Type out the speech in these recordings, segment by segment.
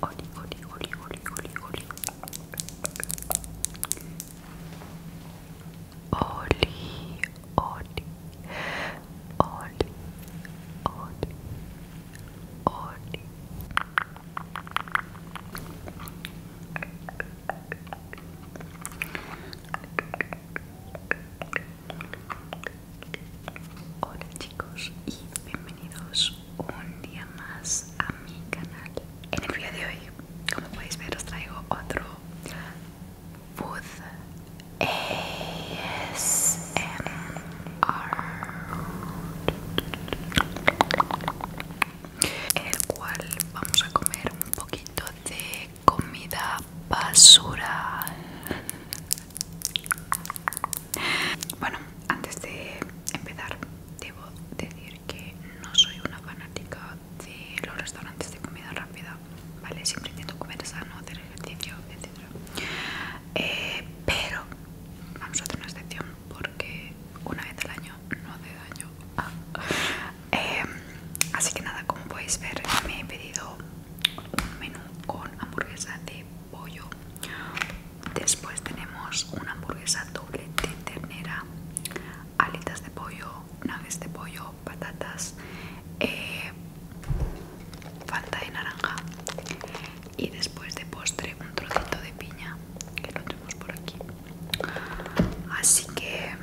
Oli, oli, oli, oli, oli, oli. Oli, oli, oli, oli, oli. Hola chicos y bienvenidos un día más a mi canal. En el día de hoy, como podéis ver, os traigo otro food ASMR, en el cual vamos a comer un poquito de comida basura. Bueno, antes de empezar, debo decir que no soy una fanática de los restaurantes de comida rápida, ¿vale? Siempre intento comer sano, hacer ejercicio, etc. Eh, pero vamos a hacer una excepción porque una vez al año no hace daño. Ah. Eh, así que nada, como podéis ver, me he pedido un menú con hamburguesa de pollo Después tenemos una hamburguesa doble de ternera, alitas de pollo, naves de pollo, patatas, eh, falta de naranja y después de postre un trocito de piña que lo tenemos por aquí. Así que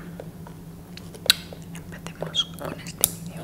empecemos con este vídeo.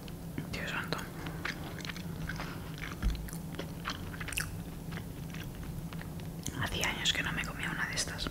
Dios santo. Hacía años que no me comía una de estas.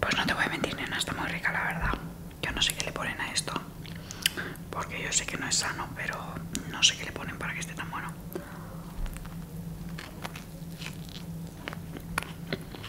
Pues no te voy a mentir, nena, está muy rica, la verdad. Yo no sé qué le ponen a esto, porque yo sé que no es sano, pero no sé qué le ponen para que esté tan bueno.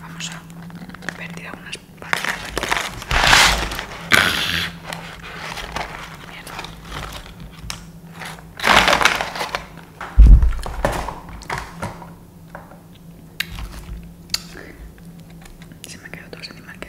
Vamos a vertir algunas partes aquí. Mierda. Se me quedó todo ese animal que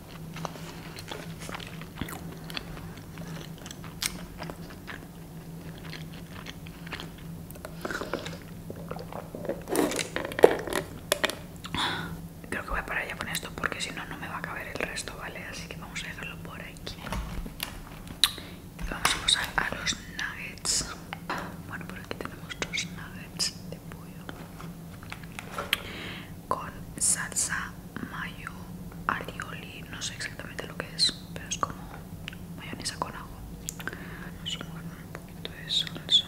Creo que voy a parar ya con esto porque si no, no me va a caber el resto, ¿vale? Así que vamos a dejarlo por aquí. vamos a pasar a los nuggets. Bueno, por aquí tenemos dos nuggets con salsa mayo alioli no sé exactamente lo que es pero es como mayonesa con ajo vamos un salsa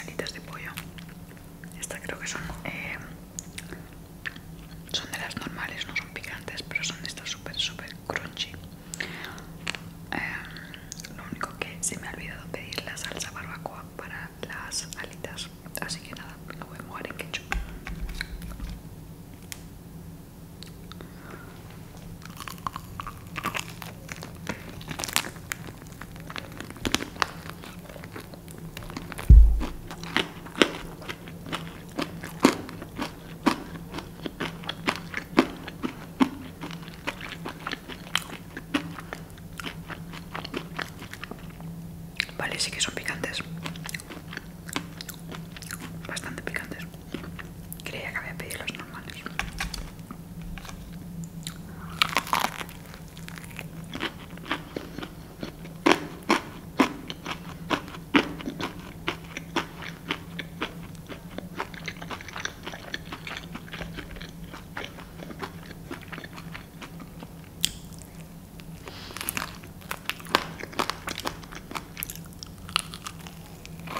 alitas de pollo estas creo que son eh, son de las normales no son picantes pero son estas súper súper crunchy eh, lo único que se me ha olvidado pedir la salsa barbacoa para las alitas así que nada lo voy a mojar en ketchup Vale, sí que son picantes. Bastante picantes. Creía que había pedido los normales.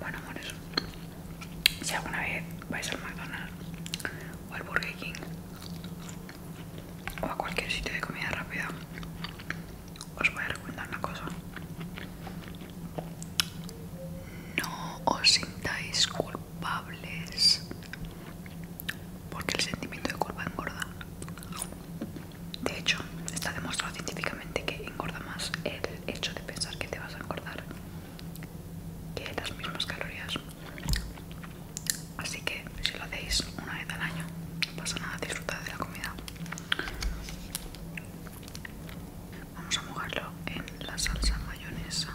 Bueno, amores, si alguna vez vais al McDonald's o al Burger King o a cualquier sitio de comida rápida, os voy a recomendar una cosa. No os sintáis culpables porque el sentimiento de culpa engorda. De hecho, está demostrado científicamente que engorda más el hecho de pensar que te vas a engordar que las mismas calorías. Así que si lo hacéis una vez al año, no pasa nada, disfrutad de la comida. Vamos a mojarlo en la salsa mayonesa.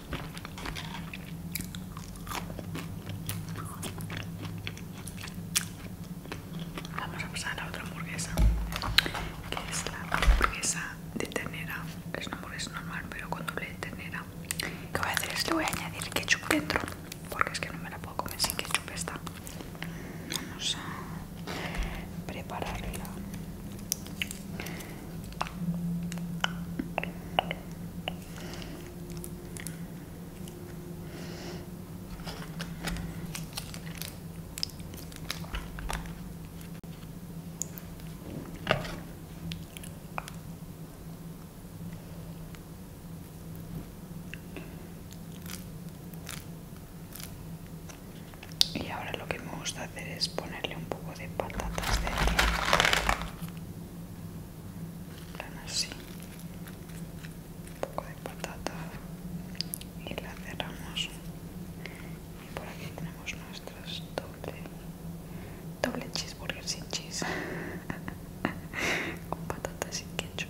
Vamos a pasar a otra hamburguesa, que es la hamburguesa de ternera. Es una hamburguesa normal, pero cuando lee de ternera. Lo que voy a hacer es le voy a añadir ketchup dentro, porque es que no me la puedo comer sin ketchup esta. Vamos a prepararla. Y ahora lo que me gusta hacer es ponerle un poco de patatas plan así un poco de patata y la cerramos y por aquí tenemos nuestras doble doble cheeseburger sin cheese con patata sin ketchup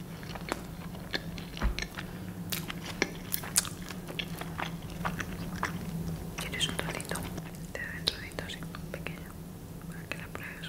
¿Quieres un trocito? Te da un trocito así, pequeño, para que la pruebes.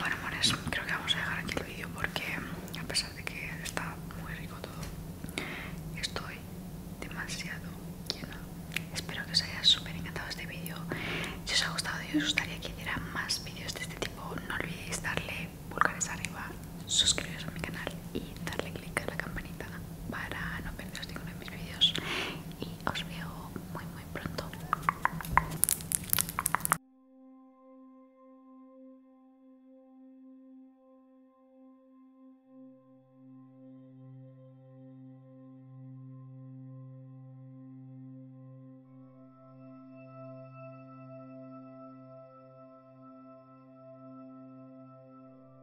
Bueno, amores, creo que vamos a dejar aquí el vídeo porque a pesar de que está muy rico todo, estoy demasiado llena. Espero que os haya súper encantado este vídeo. Si os ha gustado y os gustaría que hiciera más vídeos de este tipo, no olvidéis darle pulgares arriba suscribiros a mi canal y darle click a la campanita para no perder ninguno de mis vídeos y os veo muy muy pronto